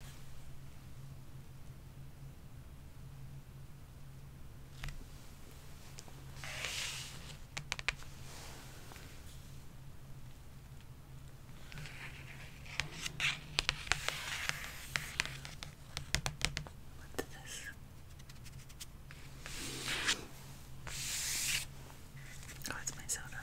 What's this? Oh, it's my soda.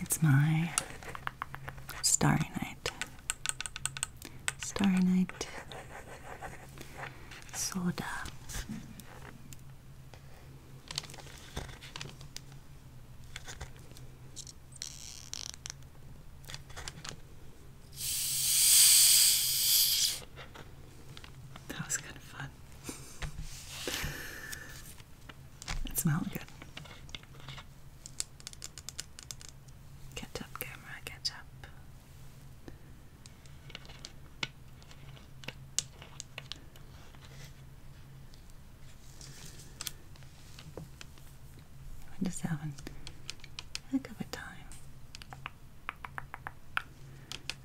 It's my starry night. Starry night soda. That was kind of fun. It smelled good. Catch up, camera, catch up i just having a heck time.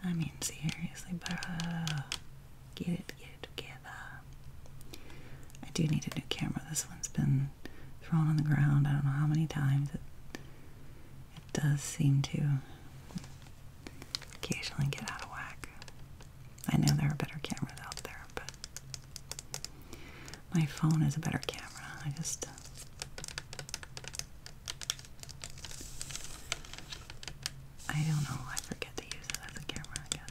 I mean, seriously, but get it together. I do need a new camera. This one's been thrown on the ground. I don't know how many times. It, it does seem to occasionally get out of whack. I know there are better cameras out there, but my phone is a better camera. I just. Uh, I don't know. I forget to use it as a camera, I guess.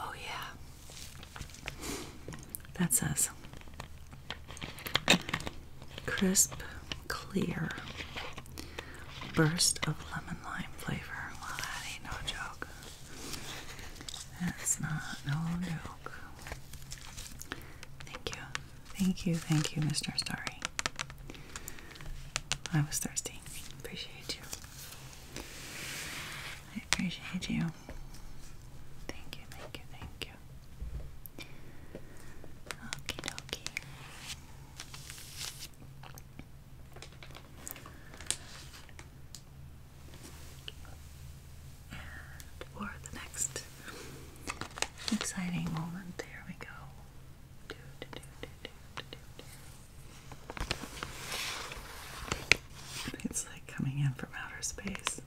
Oh, yeah, that says crisp, clear burst of lemon lime flavor. Well, that ain't no joke. That's not no joke. Thank you. Thank you, thank you, Mr. Starry. I was thirsty. Appreciate you. I appreciate you. Thank you, thank you, thank you. Okie dokie for the next exciting moment, there we go. It's like coming in from outer space.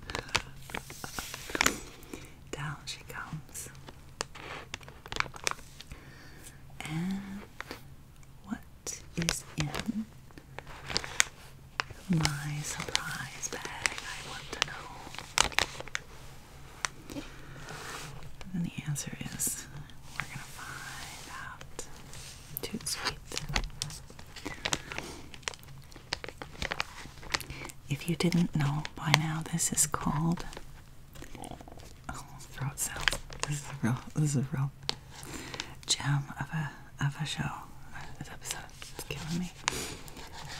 Down she comes. And what is in my surprise bag. I want to know. And the answer is we're going to find out. Too sweet. If you didn't know by now, this is called. Oh, throat This is a real. This is a real gem of a of a show. This episode is killing me.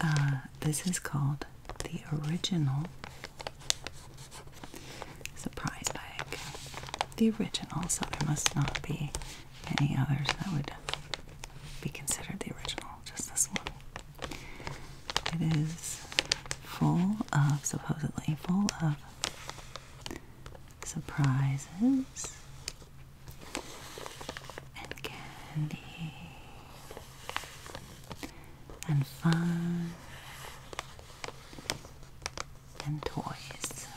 Uh, this is called the original surprise bag. The original, so there must not be any others that would be considered the original, just this one. It is full of, supposedly, full of surprises and candy and fun and toys.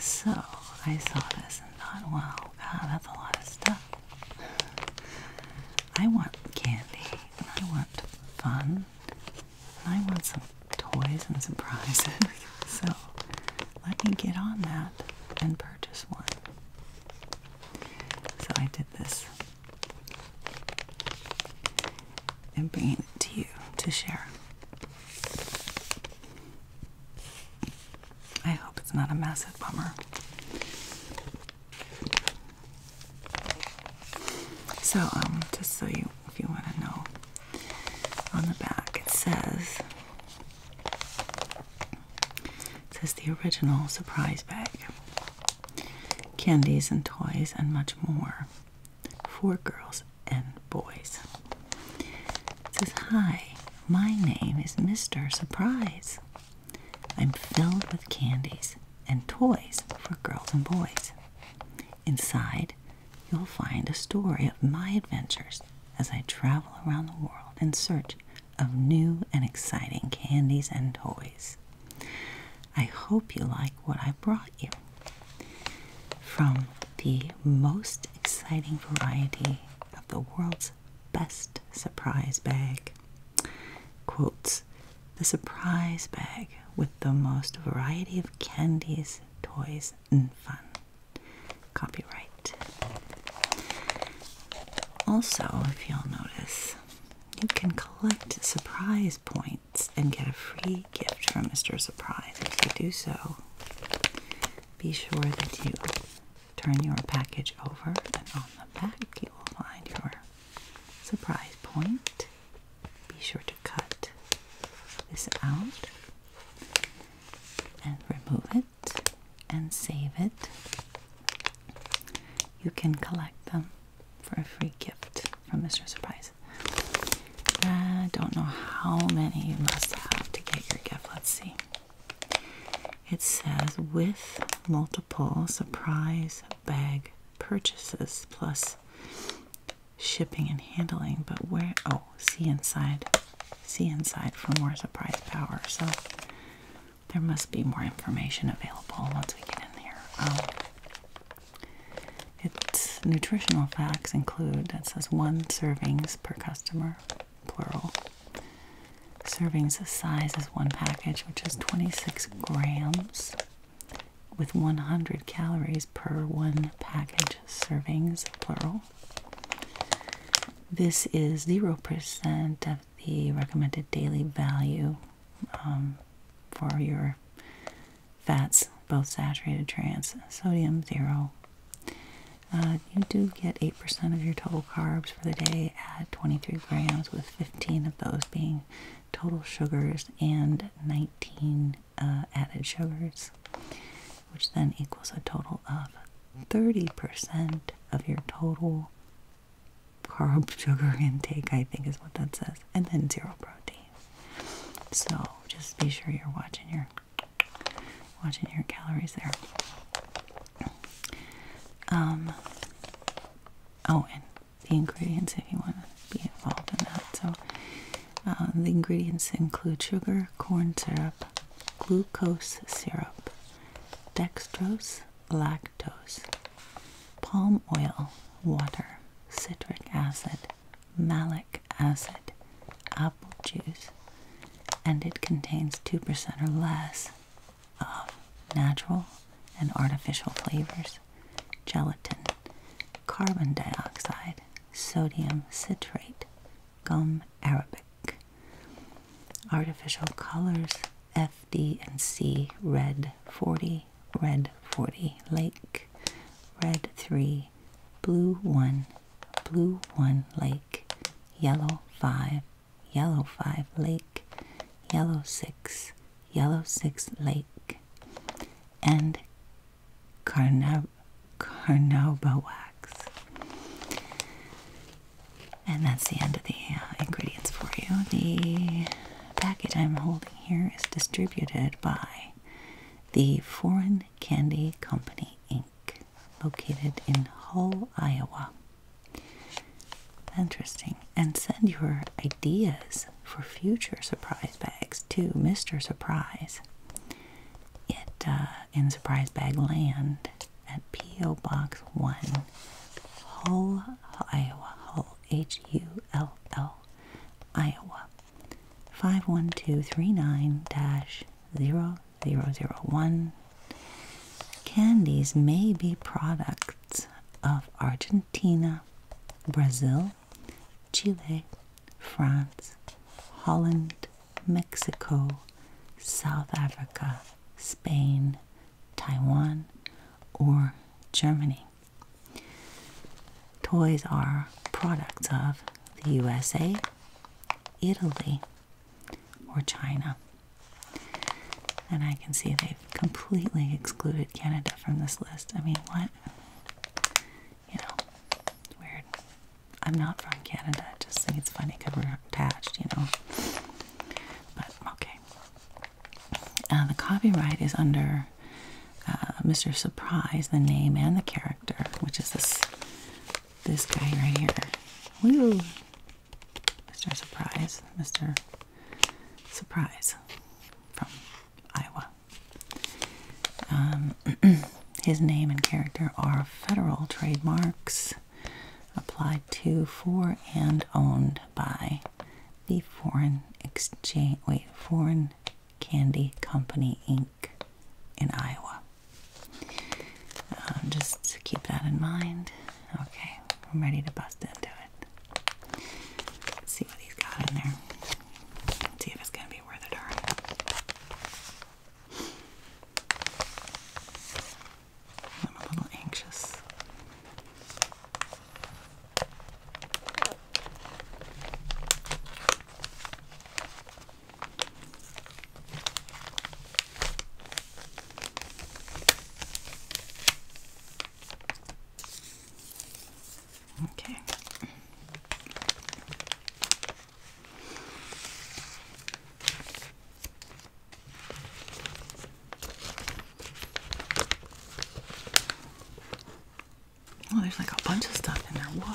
So I saw this and thought, wow, God, that's a lot of stuff. I want candy and I want fun I want some toys and surprises. so let me get on that and purchase one. So I did this and bring it to you to share. I hope it's not a massive bummer. So, um, just so you, if you want to know, on the back it says, it says the original surprise bag, candies and toys and much more for girls and boys. It says, hi, my name is Mr. Surprise. I'm filled with candies and toys for girls and boys. Inside, you'll find a story of my adventures as I travel around the world in search of new and exciting candies and toys. I hope you like what I brought you. From the most exciting variety of the world's best surprise bag. Quotes the surprise bag with the most variety of candies, toys, and fun. Copyright. Also, if you'll notice, you can collect surprise points and get a free gift from Mr. Surprise. If you do so, be sure that you turn your package over, and on the back, you will find your surprise point be sure to cut this out and remove it and save it. You can collect them for a free gift from Mr. Surprise. I don't know how many you must have to get your gift. Let's see. It says with multiple surprise bag purchases plus shipping and handling, but where oh, see inside. See inside for more surprise power. So there must be more information available once we get in there. Um, its nutritional facts include that says one servings per customer, plural. Servings the size is one package, which is 26 grams with 100 calories per one package servings, plural. This is 0% of the recommended daily value um, for your fats, both saturated trans, sodium zero. Uh, you do get 8% of your total carbs for the day at 23 grams, with 15 of those being total sugars and 19 uh, added sugars, which then equals a total of 30% of your total carb sugar intake, I think is what that says, and then zero protein. So just be sure you're watching your watching your calories there. Um, oh, and the ingredients if you want to be involved in that. So uh, the ingredients include sugar, corn syrup, glucose syrup, dextrose, lactose, palm oil, water, citric acid, malic acid, apple juice, and it contains 2% or less of natural and artificial flavors gelatin, carbon dioxide, sodium citrate, gum arabic. Artificial colors FD and C red 40, red 40 lake, red 3, blue 1, blue 1 lake, yellow 5, yellow 5 lake, yellow 6, yellow 6 lake, and carnauba carnauba wax. And that's the end of the uh, ingredients for you. The package I'm holding here is distributed by the Foreign Candy Company, Inc., located in Hull, Iowa. Interesting. And send your ideas for future surprise bags to Mr. Surprise. It uh, in Surprise Bag Land at P.O. Box 1, Hull, Iowa, Hull, H U L L, Iowa, 51239 0001. Candies may be products of Argentina, Brazil, Chile, France, Holland, Mexico, South Africa, Spain, Taiwan, or Germany. Toys are products of the USA, Italy, or China. And I can see they've completely excluded Canada from this list. I mean, what? you know, weird. I'm not from Canada. It just seems funny because we're attached, you know. But okay. Uh, the copyright is under uh, Mr. Surprise, the name and the character, which is this this guy right here. Woo! Mr. Surprise, Mr. Surprise from Iowa. Um, his name and character are federal trademarks applied to, for, and owned by the Foreign Exchange, wait, Foreign Candy Company Inc. in Iowa. Um, just keep that in mind. Okay, I'm ready to bust into it. see what he's got in there. see if it's gonna be be worth a darn. I'm a little anxious. Okay. Well, oh, there's like a bunch of stuff in there. Whoa.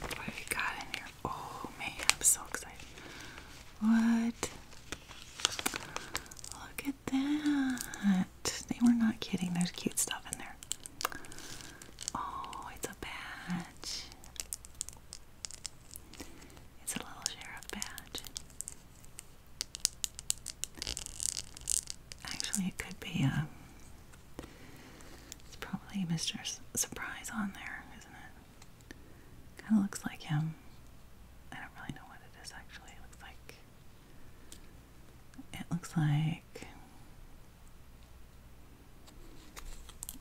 What have you got in here? Oh man, I'm so excited. What? Look at that. They were not kidding. There's cute stuff in there. Oh, it's a badge. It's a little sheriff badge. Actually, it could be um it's probably Mr. Surprise on there, isn't it? Kind of looks like him. I don't really know what it is actually. It looks like. It looks like.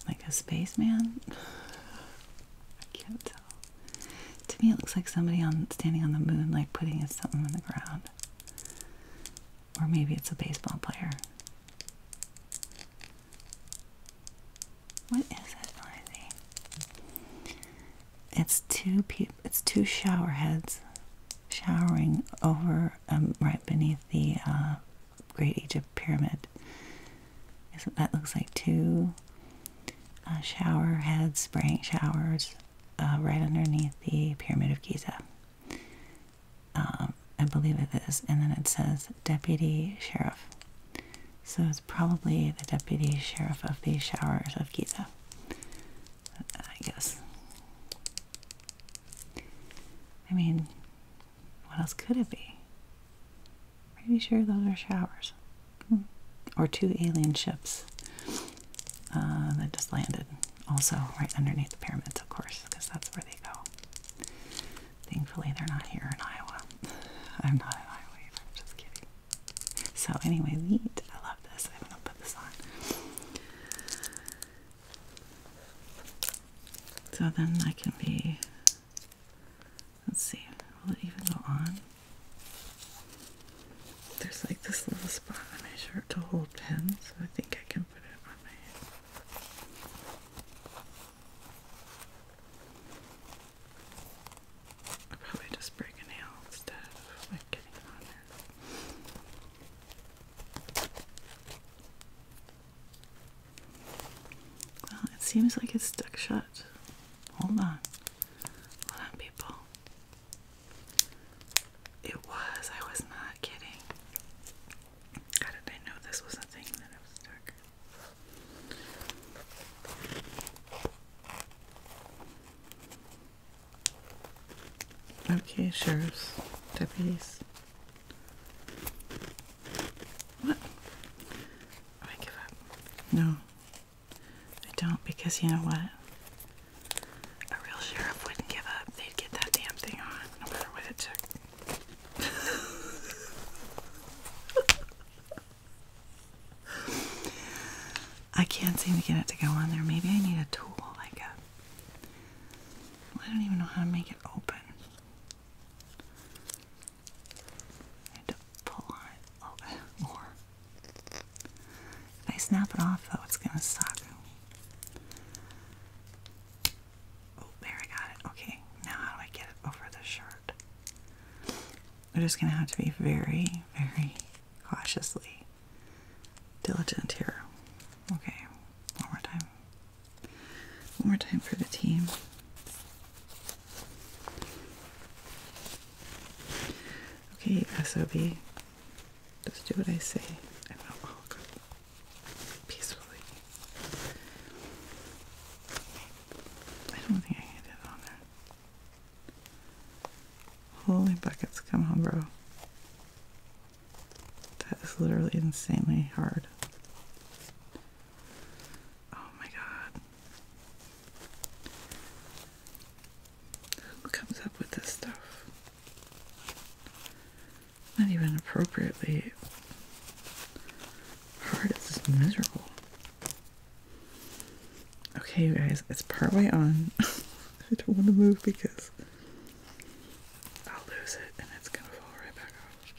Like a spaceman. I can't tell. To me, it looks like somebody on standing on the moon, like putting something on the ground. Or maybe it's a baseball player. What is it, Lizzie? It's two people. It's two shower heads showering over um, right beneath the uh, Great Egypt Pyramid. Isn't that looks like two uh, shower heads, spraying showers, uh, right underneath the Pyramid of Giza. Um, I believe it is, and then it says Deputy Sheriff. So it's probably the Deputy Sheriff of the Showers of Giza, I guess. I mean, what else could it be? Pretty sure those are showers. Or two alien ships uh, that just landed, also right underneath the pyramids, of course, because that's where they go. Thankfully, they're not here in Iowa. I'm not in Iowa I'm just kidding. So, anyway, wheat. I love this. I'm going to put this on. So then I can be, let's see, will it even go on? There's like this little spot on my shirt to hold pens, so I think I can put it on my head i probably just break a nail instead of like getting it on there. Well, it seems like it's stuck shut. Hold on. Hold on, people. It was. I was not kidding. How did I know this was a thing that I was stuck? Okay, sheriffs, deputies. What? I give up. No, I don't because you know what? A real sheriff wouldn't give up. They'd get that damn thing on no matter what it took. I can't seem to get it to go on there. Maybe I need a tool, like a. I don't even know how to make it open. I to pull on it a more. If I snap it off, though, it's gonna suck. Oh, there I got it. Okay, now how do I get it over the shirt? We're just gonna have to be very, very cautiously diligent here. Okay, one more time. One more time for the team. Okay, SOB. Just do what I say. I know. Oh, peacefully. I don't think I can get it on there. Holy buckets, come on, bro. That is literally insanely hard. Oh my god. Who comes up with this stuff? Not even appropriately hard is miserable? Okay, guys, it's partway on. I don't want to move because I'll lose it and it's gonna fall right back off.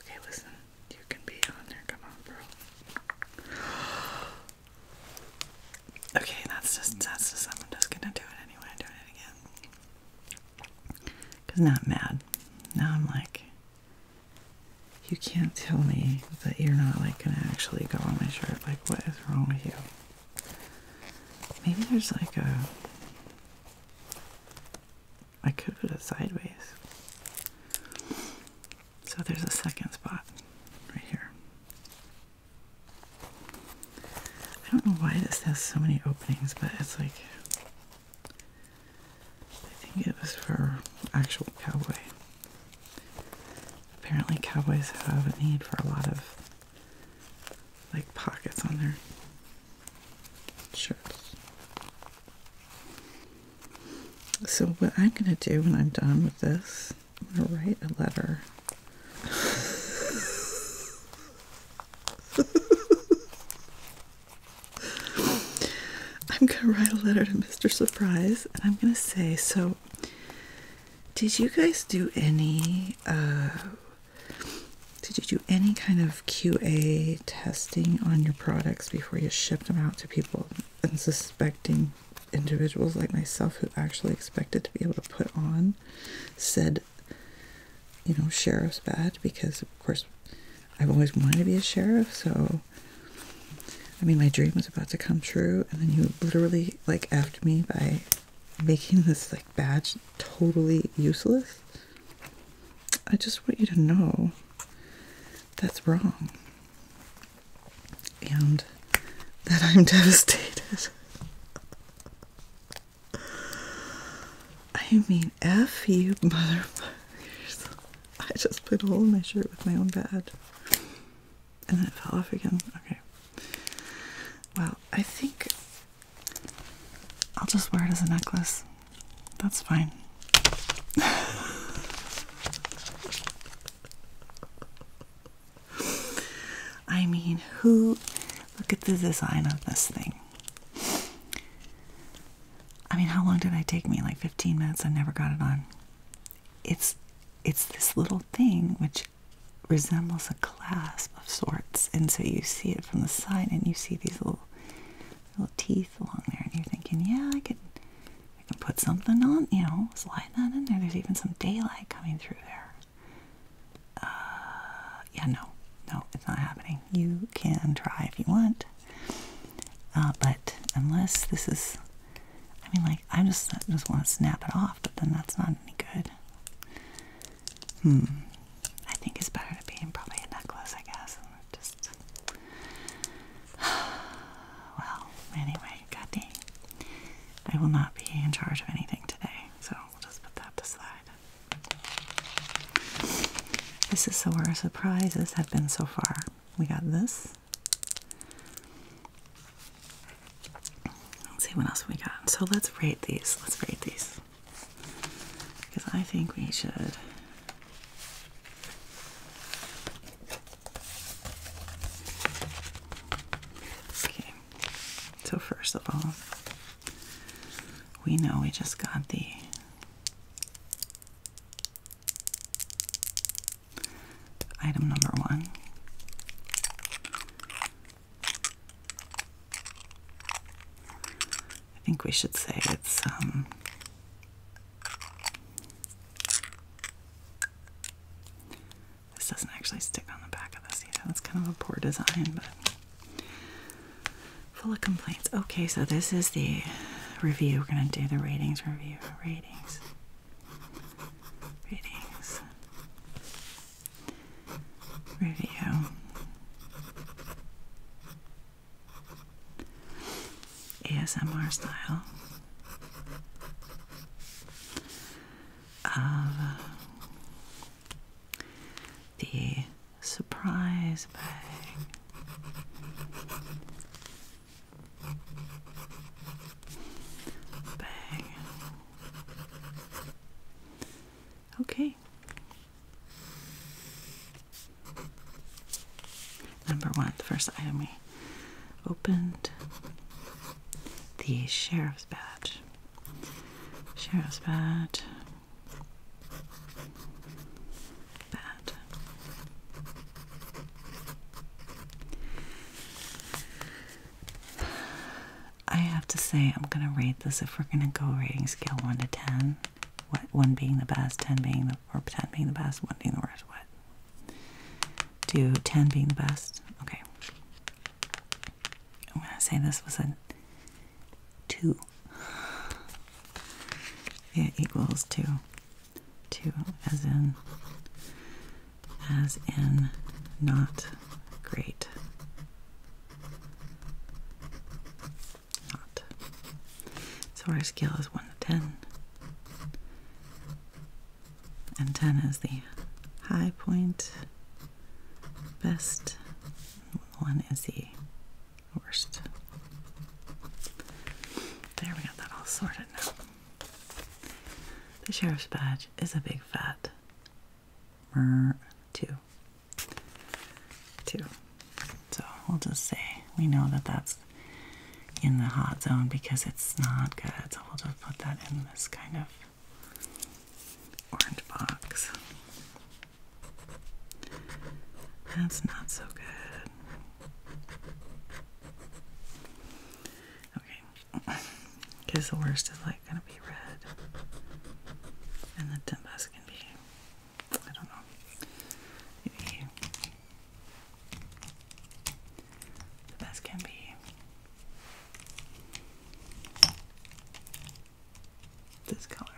Okay, listen, you can be on there. Come on, bro. Okay, that's just that's just I'm just gonna do it anyway. Do it again. Cause now mad. Now I'm like, you can't tell me that you're not like gonna actually go on my shirt. Like, what is wrong with you? Maybe there's like a. I could put it sideways. So there's a second spot right here. I don't know why this has so many openings, but it's like I think it was for actual cowboy. Apparently, cowboys have a need for a lot of like pockets on their shirts. So, what I'm gonna do when I'm done with this, I'm gonna write a letter. I'm gonna write a letter to Mr. Surprise and I'm gonna say, so did you guys do any uh, did you do any kind of QA testing on your products before you shipped them out to people and suspecting individuals like myself who actually expected to be able to put on said you know sheriff's badge because of course I've always wanted to be a sheriff, so I mean, my dream is about to come true, and then you literally like effed me by making this like badge totally useless. I just want you to know that's wrong and that I'm devastated. I mean, F you motherfuckers. I just put a hole in my shirt with my own bad. And then it fell off again. Okay. Well, I think I'll just wear it as a necklace. That's fine. I mean, who. Look at the design of this thing. I mean, how long did I take me? Like 15 minutes. I never got it on. It's it's this little thing which resembles a clasp of sorts, and so you see it from the side, and you see these little little teeth along there, and you're thinking, yeah, I can, I can put something on, you know, slide that in there. There's even some daylight coming through there. Uh, yeah, no, no, it's not happening. You can try if you want. Uh, but unless this is, I mean, like I just just want to snap it off, but then that's not any good. Hmm. I think it's better to be probably a necklace, I guess. Just well, anyway, god I will not be in charge of anything today, so we'll just put that to slide. This is where our surprises have been so far. We got this. Let's see what else we got. So let's rate these. Let's rate these. Because I think we should. Okay. So, first of all, we know we just got the Item number one. I think we should say it's um, this doesn't actually stick on the back of the seat. That's kind of a poor design, but Full of complaints. Okay, so this is the review. We're going to do the ratings review. Ratings. Ratings. Review. ASMR style of uh, the surprise bag. Bag. Okay. Number one, the first item we opened the sheriff's badge. Sheriff's badge that. I have to say, I'm going to rate this if we're going to go rating scale 1 to 10. What, 1 being the best, 10 being the, or 10 being the best, 1 being the worst, what? To 10 being the best. Okay. I'm going to say this was a 2. It equals 2. 2 as in, as in not great. Not. So our scale is 1 to 10. And 10 is the high point, best. One is the Worst. There we got that all sorted now. The sheriff's badge is a big fat two. Two. So we'll just say we know that that's in the hot zone because it's not good. So we'll just put that in this kind of orange box. That's not so good. Okay, because the worst is like gonna be red, and the best can be I don't know. Maybe the best can be this color.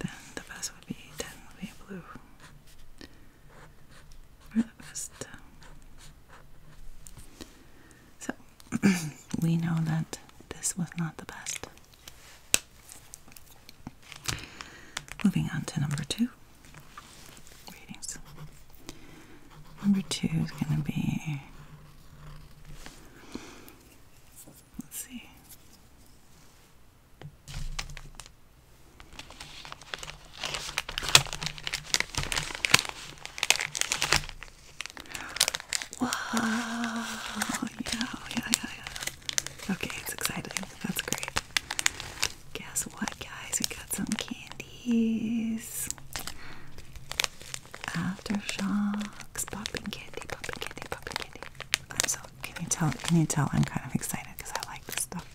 Then the vest would be then would be blue. the vest. So we know that this was not the best. Moving on to number two readings. Number two is going to be. Let's see. Wow! Yeah, yeah, yeah, yeah. Okay, it's exciting. That's great. Guess what, guys? We got some candies. Aftershocks, popping candy, popping candy, popping candy. I'm so. Can you tell? Can you tell? I'm kind of excited because I like this stuff.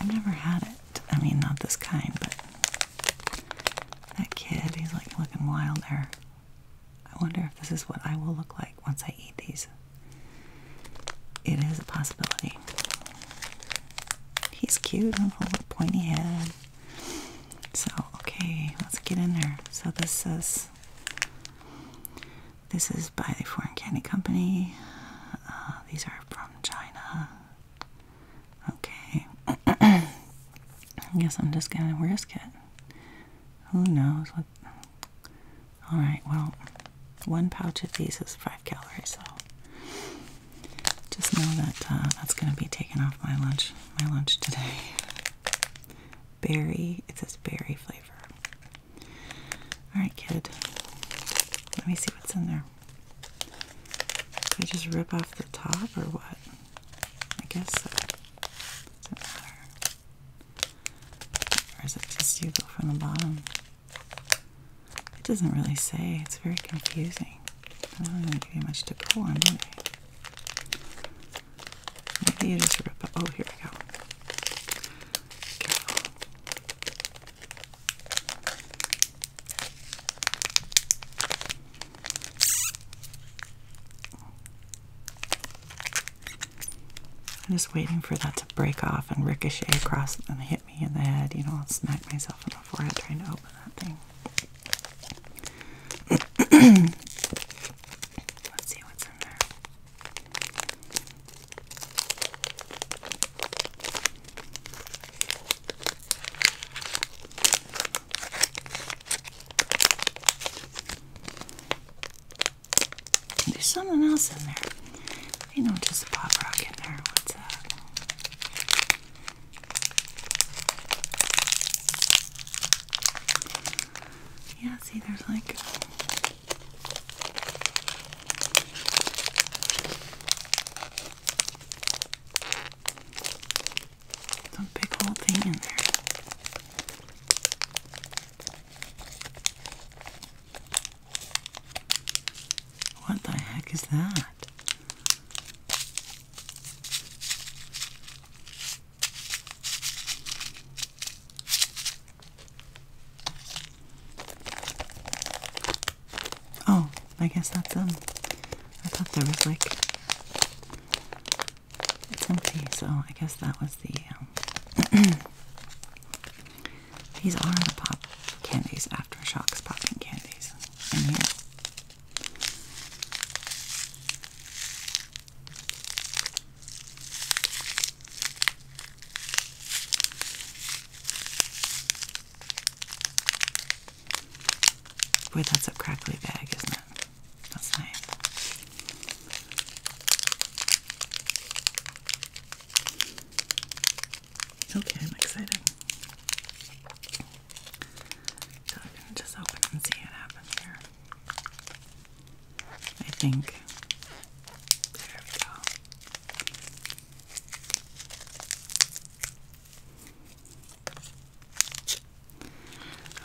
I've never had it. I mean, not this kind, but that kid, he's like looking wild there. I wonder if this is what I will look like once I eat these. It is a possibility. He's cute, I do pointy head. So, okay, let's get in there. So this is this is by the Foreign Candy Company. Uh, these are from China. Okay. I guess I'm just gonna risk it. Who knows what all right, well one pouch of these is five calories, so just know that uh, that's going to be taken off my lunch. My lunch today. Berry. It says berry flavor. All right, kid. Let me see what's in there. I just rip off the top or what? I guess so. Does it matter? Or is it just you go from the bottom? It doesn't really say. It's very confusing. I don't really give you much to pull on, Maybe you just rip Oh, here we go. I'm just waiting for that to break off and ricochet across. And me in the head, you know, I'll smack myself in the forehead trying to open that thing. Let's see what's in there. There's something else in there. You know, just a pop rock in there. What's that? Yeah, see, there's like. Some big old thing in there. What the heck is that? Oh, I guess that's um I thought there was like it's empty, so I guess that was the um These are the pop candies, Aftershocks popping candies in here. Boy, that's a crackly bag, isn't it? That's nice. Okay, I'm excited. So we're just open and see what happens here. I think. There we go.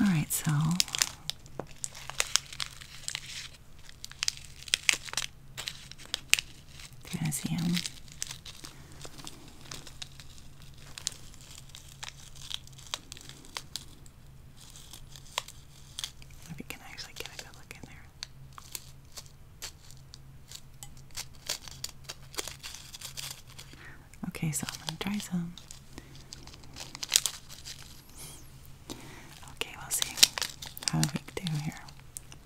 All right, so can I see him? If we can actually get a good look in there. Okay, so I'm gonna try some. Okay, we'll see how we do here.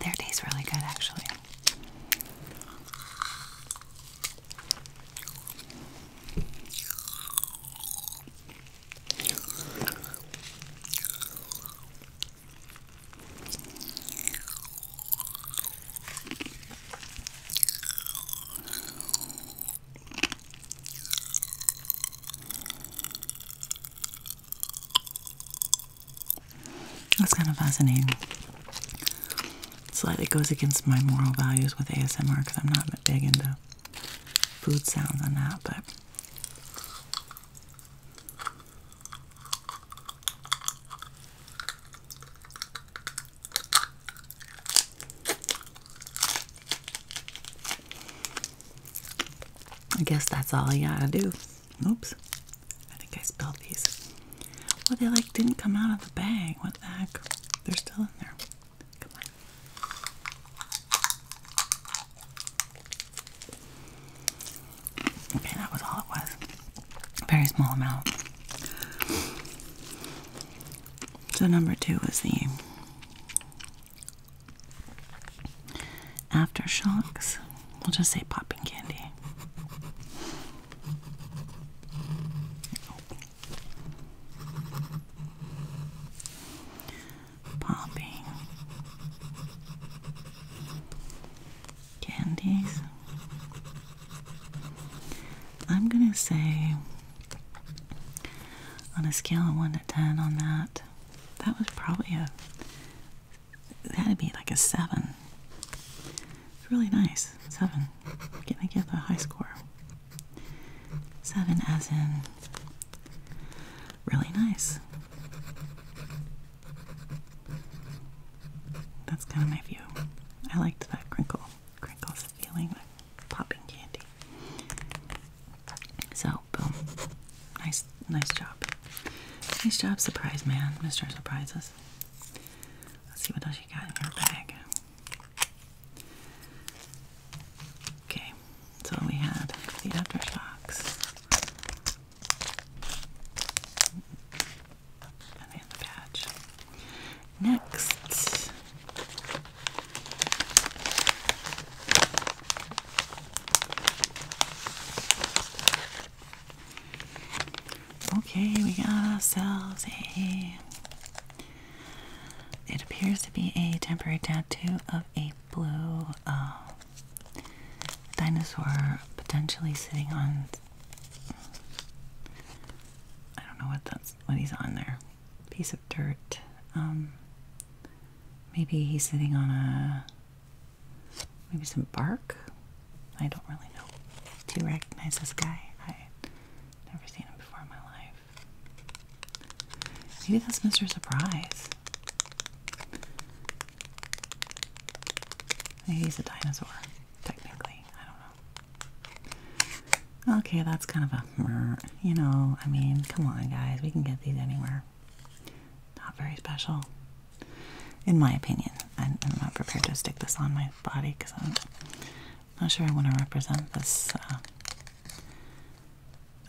Their tastes really good actually. That's kind of fascinating. Slightly goes against my moral values with ASMR because I'm not big into food sounds on that, but. I guess that's all you gotta do. Oops. I think I spilled these. Well, they like didn't come out of the bag. What the heck? They're still in there. Come on. Okay, that was all it was. very small amount. So, number two was the aftershocks. We'll just say popping candy. Popping candies I'm going to say on a scale of 1 to 10 on that, that was probably a, that'd be like a 7. It's really nice. 7. Gonna give a high score. 7 as in really nice. That's kind of my view. I liked that crinkle. Crinkles feeling like popping candy. So, boom. Nice, nice job. Nice job, surprise man, Mr. Surprises. Let's see what else you got in your bag. Okay, so we had the aftershocks and Next, okay, we got ourselves a. It appears to be a temporary tattoo of a blue um, dinosaur potentially sitting on. I don't know what that's when he's on there. Piece of dirt. Um, maybe he's sitting on a maybe some bark. I don't really know. Do you recognize this guy? I never seen him before in my life. Maybe that's Mr. Surprise. Maybe he's a dinosaur technically. I don't know. Okay, that's kind of a, you know, I mean, come on, guys. We can get these anywhere. Not very special, in my opinion. I'm, not prepared to stick this on my body because I'm not sure I want to represent this. Uh,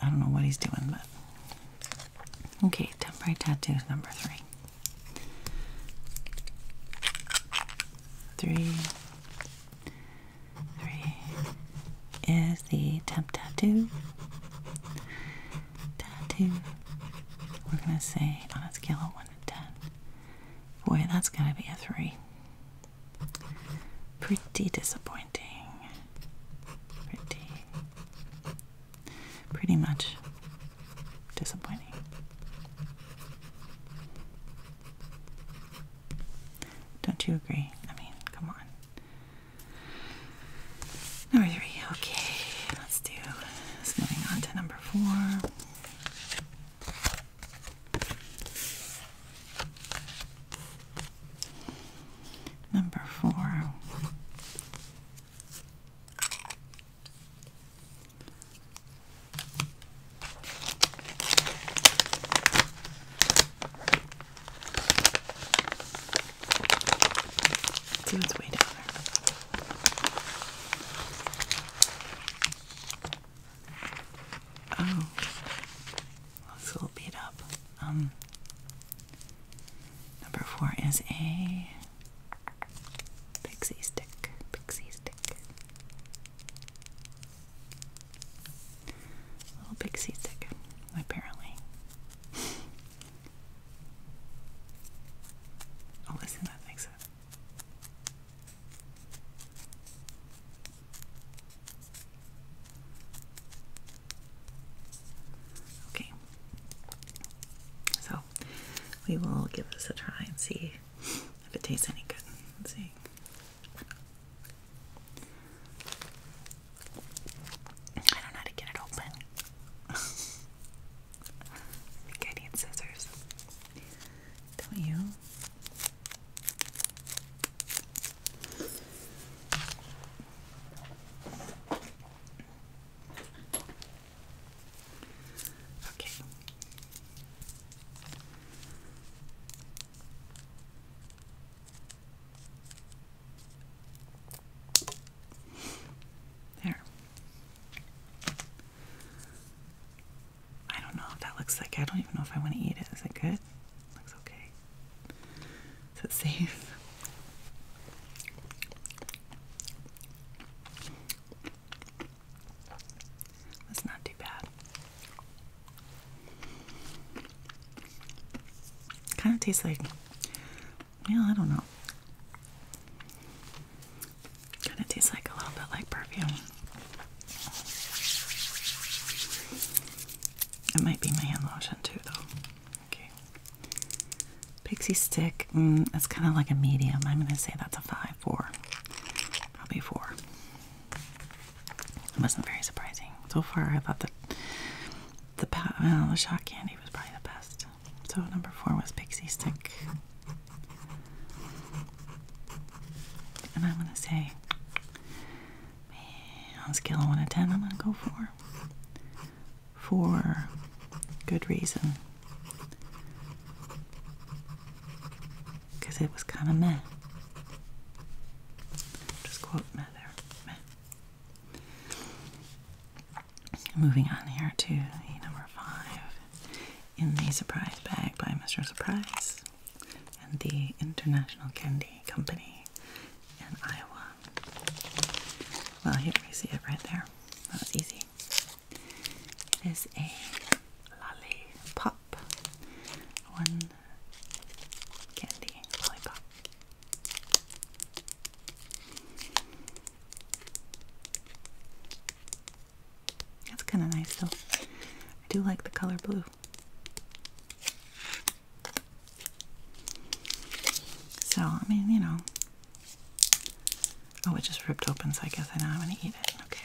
I don't know what he's doing, but. Okay, temporary tattoos number three. Three, Three is the tap tattoo. Tattoo. We're gonna say on a scale of one to ten. Boy, that's going to be a three. Pretty disappointing. Pretty pretty much disappointing. Don't you agree? I mean, come on. Number three. Okay, let's do. Let's moving on to number four. Number four. See what's way down there. Oh, looks a little beat up. Um, number four is a pixie stick. Pixie stick. A little pixie stick, apparently. oh, listen, that makes it. Okay. So we will give this a try and see if it tastes any good. Let's see. I don't know how to get it open. think I need scissors. Don't you? Okay. There. I don't know if that looks like I don't even know if I want to eat it. Is it good? Looks okay. Is it safe? That's not too bad. Kind of tastes like, yeah, I don't know. Kind of tastes like a little bit like perfume. It might be my hand lotion too, though. Okay. Pixie stick. Mm, that's kind of like a medium. I'm gonna say that's a five, four, probably four. It wasn't very surprising. So far, I thought that the, well, the shot candy was probably the best. So number four was Pixie Stick. And I'm going to say, on a scale of 1 to 10, I'm going to go 4. For good reason because it was kind of meh. Just quote meh there. Meh. Moving on here to number five in the surprise bag by Mr. Surprise and the International Candy Company in Iowa. Well, here we see it right there. That was easy. It is a lollipop. One candy lollipop. That's kind of nice though. I do like the color blue. So, I mean, you know. Oh, it just ripped open, so I guess I know I'm gonna eat it. Okay.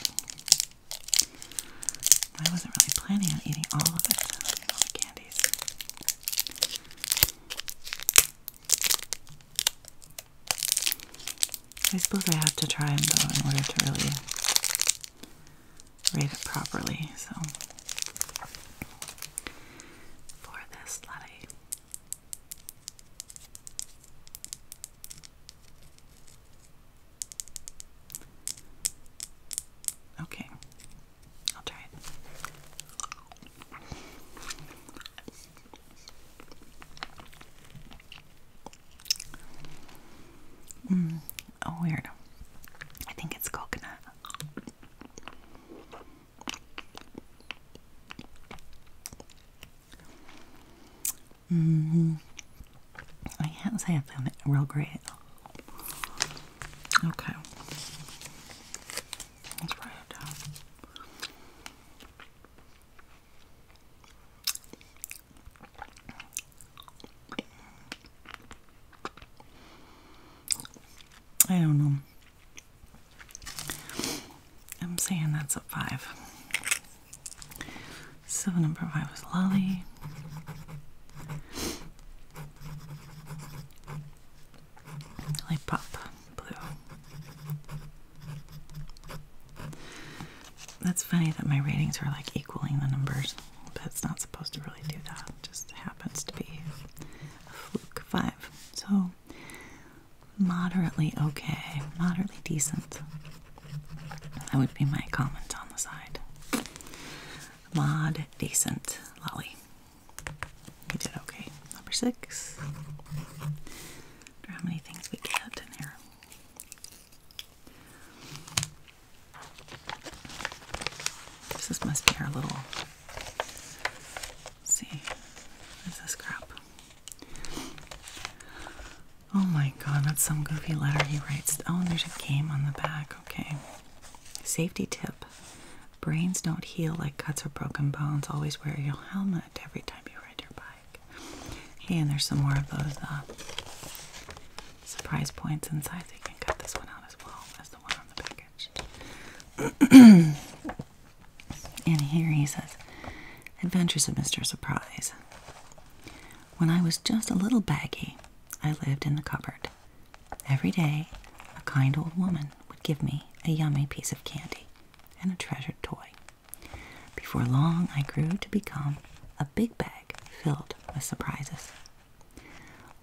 I wasn't really planning on eating all of it, all the candies. I suppose I have to try them though in order to really rate it properly. So, for this latte, Okay, I'll try it. Mm, oh, weird. I think it's coconut. -hmm. I can't say I found it real great. Okay. Let's write it down. I don't know. I'm saying that's a five. So number five was Lolly. Like pop blue. That's funny that my ratings are like equaling the numbers, but it's not supposed to really do that. It just happens to be a fluke five. So moderately okay, moderately decent. That would be my comment on the side. Mod decent lolly. You did okay. Number six. how many things we get in here. This must be our little. see, what is this crap? Oh my god, that's some goofy letter he writes. Oh, and there's a game on the back. Okay. Safety tip brains don't heal like cuts or broken bones. Always wear your helmet every time you ride your bike. Hey, and there's some more of those uh, surprise points inside, so you can cut this one out as well as the one on the package. and here he says Adventures of Mr. Surprise. When I was just a little baggy, I lived in the cupboard. Every day, a kind old woman would give me a yummy piece of candy and a treasured toy. Before long, I grew to become a big bag filled with surprises.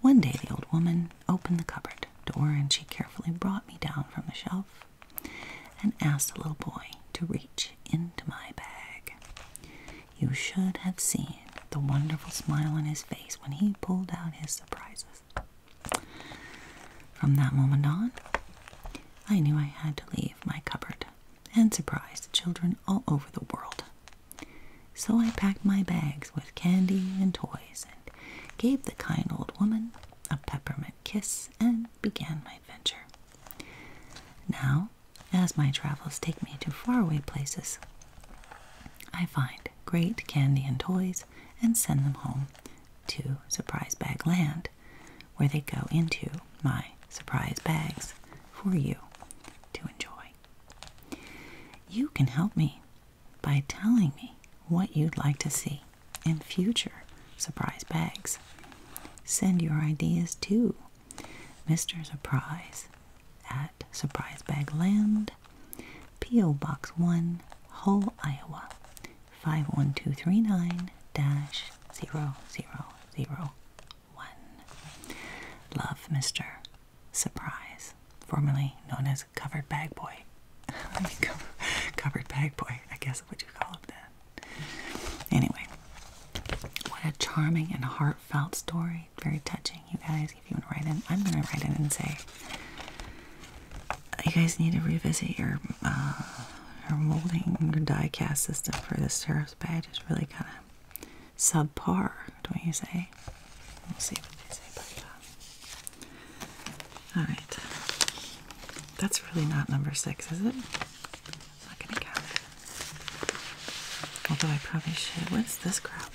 One day, the old woman opened the cupboard door and she carefully brought me down from the shelf and asked the little boy to reach into my bag. You should have seen the wonderful smile on his face when he pulled out his surprises. From that moment on, I knew I had to leave my cupboard and surprise children all over the world. So I packed my bags with candy and toys and gave the kind old woman a peppermint kiss and began my adventure. Now as my travels take me to faraway places, I find great candy and toys and send them home to Surprise Bag Land, where they go into my surprise bags for you to enjoy. You can help me by telling me what you'd like to see in future surprise bags. Send your ideas to Mr. Surprise at Surprise Bag Land, P.O. Box 1, Hull, Iowa 51239 0001. Love Mr. Surprise, formerly known as Covered Bag Boy. covered Bag Boy, I guess what you call it then. Anyway, what a charming and heart Felt story. Very touching, you guys. If you want to write in, I'm going to write in and say, you guys need to revisit your uh, your molding, die cast system for the sheriff's badge. It's really kind of subpar, don't you say? We'll see what they say All right. That's really not number six, is it? not gonna count Although I probably should. What's this crap?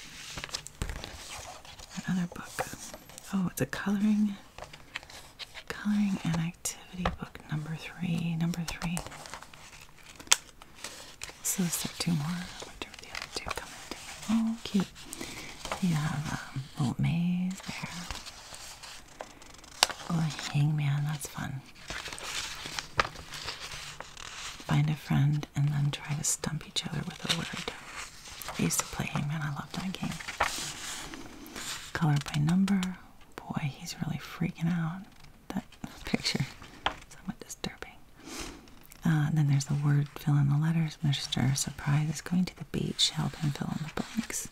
Another book. Oh, it's a coloring coloring and activity book number three. Number three. So let two more. I wonder if the other two come in. Oh, cute. You have a um, old maze there. Oh, hangman. That's fun find a friend and then try to stump each other with a word. I used to play Hangman, I loved that game. Color by number. Boy, he's really freaking out. That picture somewhat disturbing. Uh, and then there's the word, fill in the letters. Mr. Surprise is going to the beach, help him fill in the blanks.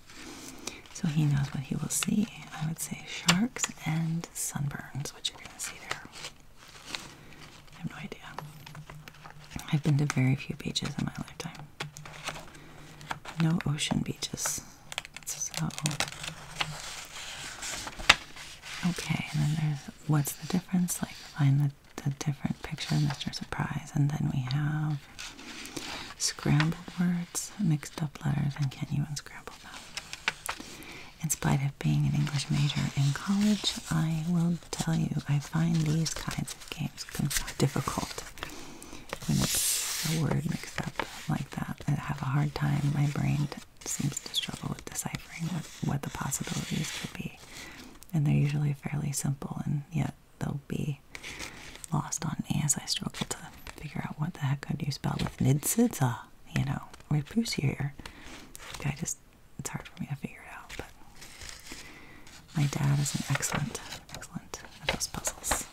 So he knows what he will see. I would say sharks and sunburns, which you're going to see there. I have no idea. I've been to very few beaches in my lifetime. No ocean beaches. So. Okay, and then there's what's the difference? Like, find the, different picture, Mr. Surprise. And then we have scrambled words, mixed up letters, and can you unscramble them? In spite of being an English major in college, I will tell you I find these kinds of games difficult. When it's a word mixed up like that, I have a hard time. My brain seems to struggle with deciphering what, the possibilities could be. And they're usually fairly simple, and yet they'll be lost on me as I struggle to figure out what the heck could you spell with nidsidza you know, we here. I just, it's hard for me to figure it out, but my dad is an excellent, excellent at those puzzles.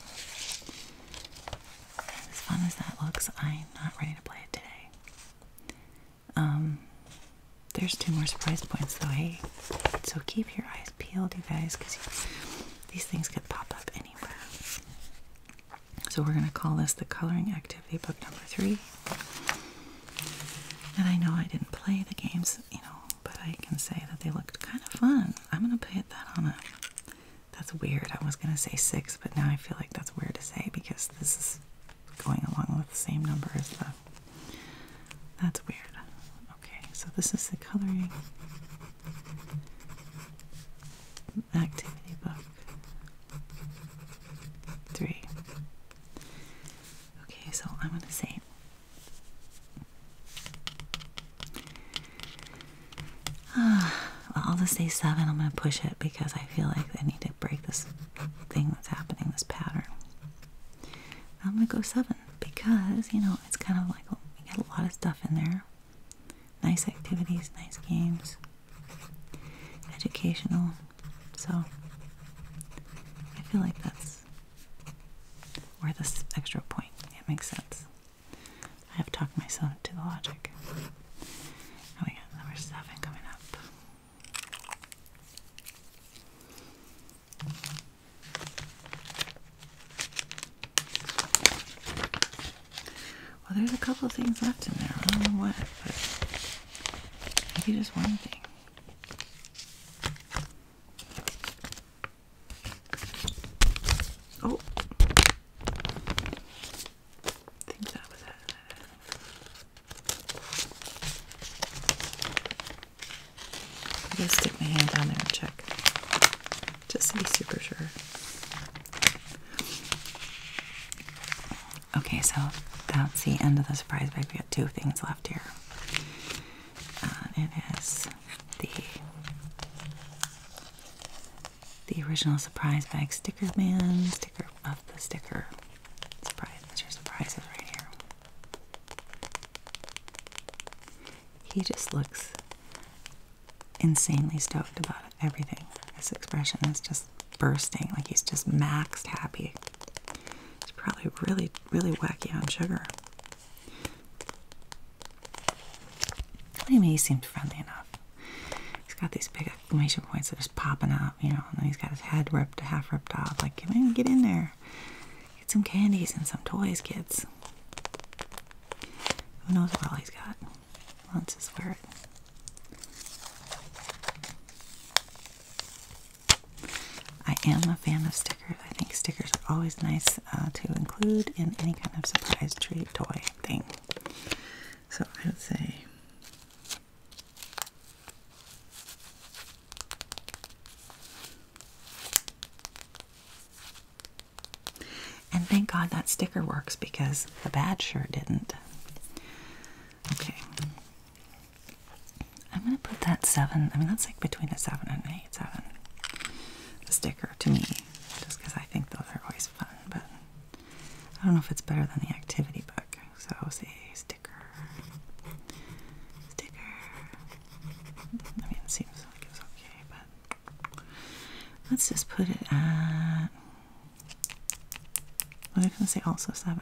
As fun as that looks, I'm not ready to play it today. Um, there's two more surprise points though, hey. So keep your eyes peeled, you guys, because these things could pop up anywhere. So we're going to call this the coloring activity book number three. And I know I didn't play the games, you know, but I can say that they looked kind of fun. I'm going to put that on a. That's weird. I was going to say six, but now I feel like that's weird to say because this is going along with the same number as the. That's weird. Okay, so this is the coloring activity book. Three. Okay, so I'm going to say well, I'll just say seven. I'm going to push it because I feel like I need to break this thing that's happening, this pattern. I'm going to go seven because, you know, it's kind of like we got a lot of stuff in there. Nice activities, nice games educational. So I feel like that's worth this extra point. It makes sense. I have talked myself to the logic. And we got number seven coming up. Well, there's a couple of things left in there. I don't know what, but maybe just one thing. Oh, I think that was it. I gotta stick my hand down there and check, just to be super sure. Okay, so that's the end of the surprise bag. We got two things left here. it is the the original surprise bag sticker man sticker of the sticker surprise. It's your surprises right here. He just looks insanely stoked about it everything. His expression is just bursting, like he's just maxed happy. He's probably really, really wacky on sugar. What do you mean he seems friendly enough? He's got these big exclamation points that are just popping up, you know, and he's got his head ripped, half ripped off. Like, get in, get in there. Get some candies and some toys, kids. Who knows what all he's got? Let's just wear it. I am a fan of stickers. I think stickers are always nice uh, to include in any kind of surprise treat toy thing. So I would say And thank God that sticker works because the bad shirt didn't. Okay. I'm gonna put that seven. I mean, that's like between a seven and an eight. Seven. The sticker to me, just because I think those are always fun. But I don't know if it's better than the activity book. So say sticker, sticker. I mean, it seems like it's okay, but let's just put it at. I'm just going to say also 7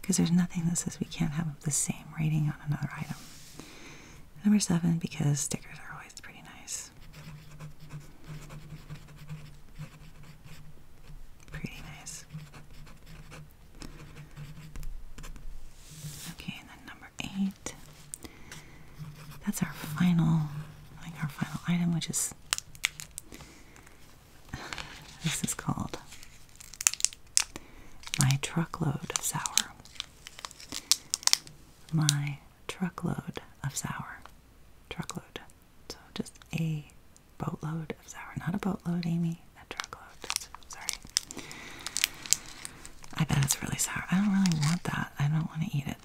because there's nothing that says we can't have the same rating on another item. Number 7 because stickers are always pretty nice. Pretty nice. Okay, and then number 8. That's our final, like our final item, which is this is called My Truckload of Sour. My Truckload of Sour. Truckload. So just a boatload of sour. Not a boatload, Amy. A truckload. Sorry. I bet it's really sour. I don't really want that. I don't want to eat it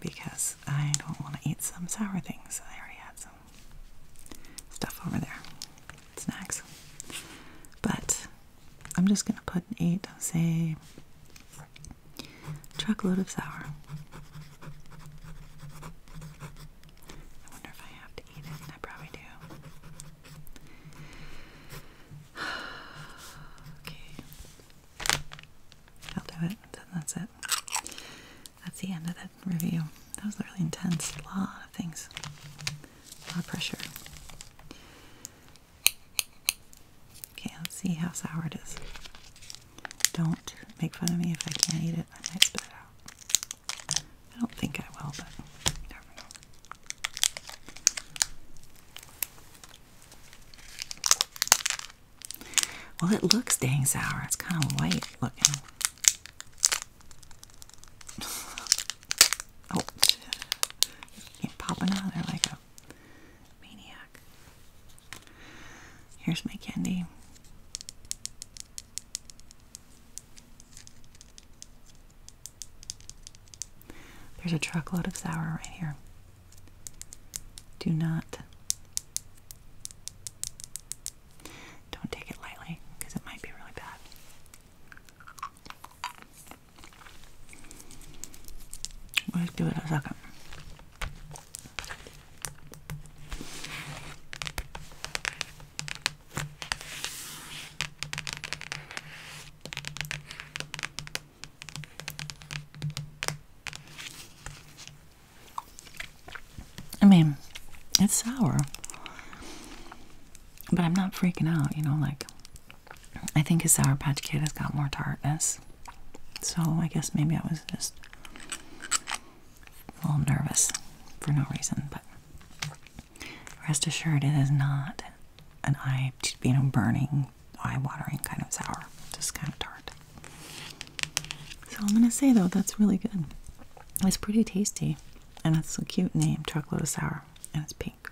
because I don't want to eat some sour things. I already had some stuff over there, snacks. But I'm just gonna put and eat, say, truckload of sour. I wonder if I have to eat it. I probably do. okay. I'll do it. Then that's it that's the end of that review. That was really intense. A lot of things. A lot of pressure. Okay, let's see how sour it is. Don't make fun of me if I can't eat it. I might spit it out. I don't think I will, but never know. Well, it looks dang sour. It's kind of white looking. oh, keep popping out there like a maniac. Here's my candy. There's a truckload of sour right here. Do not don't take it lightly because it might be really bad. Let's give it a second. I mean, it's sour, but I'm not freaking out, you know. Like, I think a Sour Patch Kid has got more tartness, so I guess maybe I was just a little nervous for no reason, but rest assured, it is not an eye, you know, burning, eye watering kind of sour, just kind of tart. So I'm gonna say though, that's really good. It's pretty tasty, and that's a cute name, chocolate sour, and it's pink.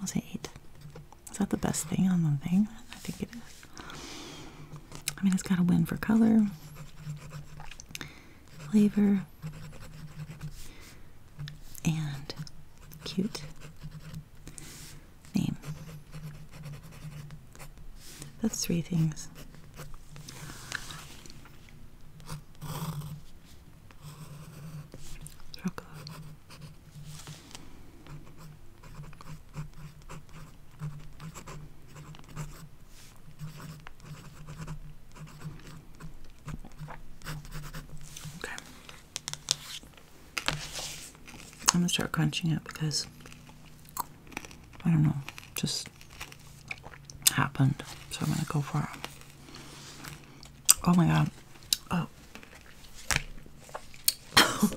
I'll say eight. Is that the best thing on the thing? I think it is. I mean, it's got a win for color, flavor, and cute name. That's three things. Chocolate. Okay. I'm gonna start crunching it because I don't know, just happened. So I'm gonna go for it. Oh my god. Oh.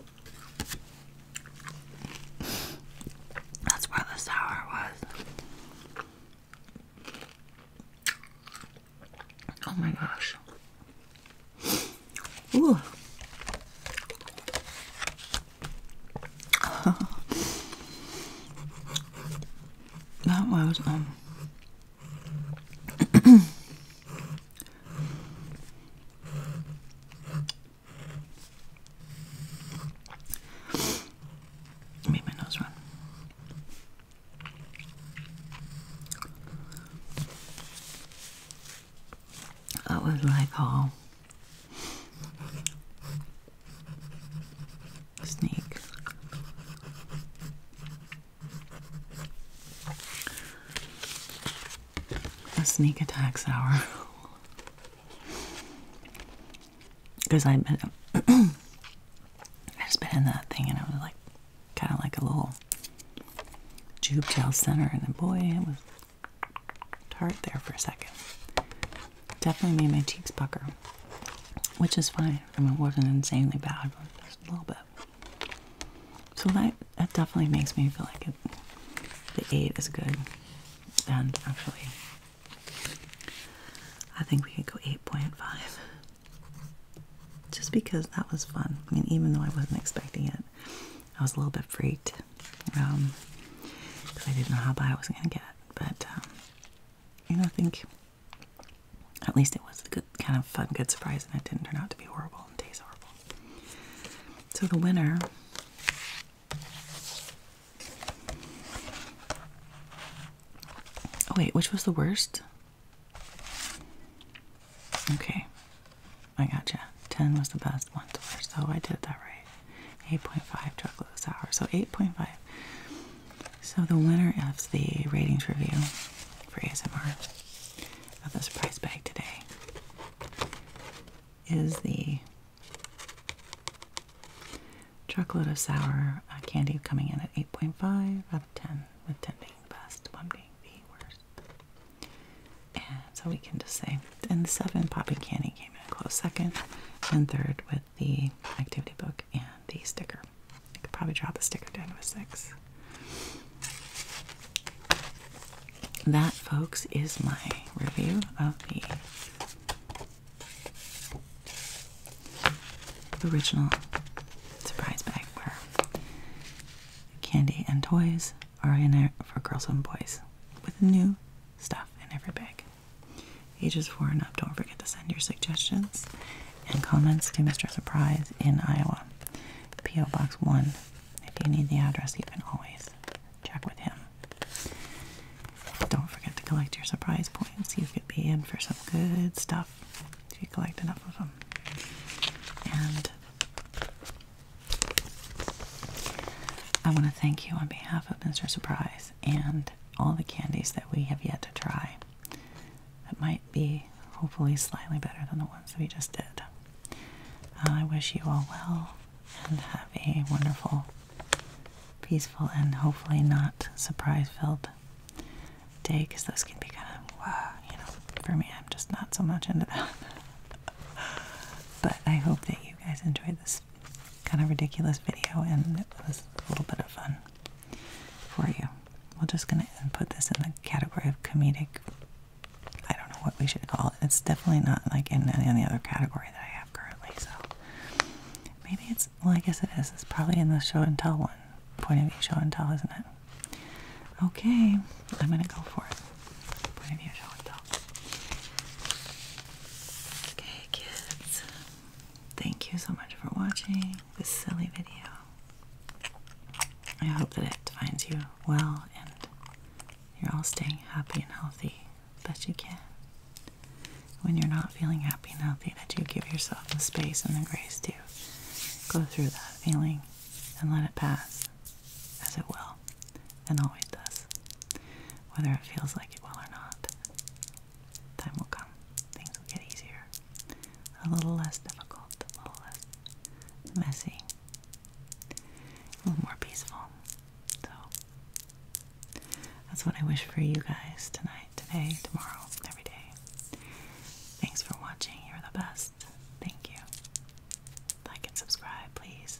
That's where the sour was. Oh my gosh. Ooh. that was um made my nose run. That was like all Snake. A sneak attacks hour. Because I been, I just been in that thing and I was like, kind of like a little tube tail center, and then boy, it was tart there for a second. Definitely made my cheeks pucker, which is fine. I mean, it wasn't insanely bad, but just a little bit. So that, that definitely makes me feel like it, the 8 is good. And actually, I think we could go 8.5. Just because that was fun. I mean, even though I wasn't expecting it, I was a little bit freaked because um, I didn't know how bad I was going to get. But, um, you know, I think at least it was a good, kind of fun, good surprise, and it didn't turn out to be horrible and taste horrible. So the winner oh, wait, which was the worst? Okay, I got you. Ten was the best, one, So oh, I did that right right? 8.5 truckloads sour. So 8.5. So the winner of the ratings review for ASMR of this prize bag today is the chocolate of sour uh, candy coming in at 8.5 out of 10, with 10 being the best, 1 being the worst so we can just say. And seven, Poppy Candy came in close second, and third with the activity book and the sticker. I could probably drop the sticker down to six. That, folks, is my review of the original surprise bag where candy and toys are in there for girls and boys with new stuff in every bag. Ages 4 and up, don't forget to send your suggestions and comments to Mr. Surprise in Iowa. P.O. Box 1. If you need the address, you can always check with him. Don't forget to collect your surprise points. You could be in for some good stuff if you collect enough of them. And I want thank you on behalf of Mr. Surprise and all the candies that we have yet to try that might be hopefully slightly better than the ones we just did. Uh, I wish you all well and have a wonderful, peaceful, and hopefully not surprise filled day because those can be kind of, wow, you know, for me, I'm just not so much into that. but I hope that you guys enjoyed this kind of ridiculous video, and it was a little bit of fun for you. We're just gonna put this in the category of comedic. I don't know what we should call it. It's definitely not like in any, other category that I have currently. So maybe it's well, I guess it is. It's probably in the show and tell one. Point of view show and tell, isn't it? Okay, I'm gonna go for it. Point of view show and tell. Okay, kids, thank you so much for watching this silly video. I hope that it finds you well and you're all staying happy and healthy that you can. When you're not feeling happy and healthy, that you give yourself the space and the grace to go through that feeling and let it pass as it will and always does, whether it feels like it will or not. Time will come, things will get easier, a little less difficult, a little less messy, a little more peaceful. So, that's what I wish for you guys tonight, today, tomorrow, every day. Thanks for watching. You're the best. Thank you. Like and subscribe, please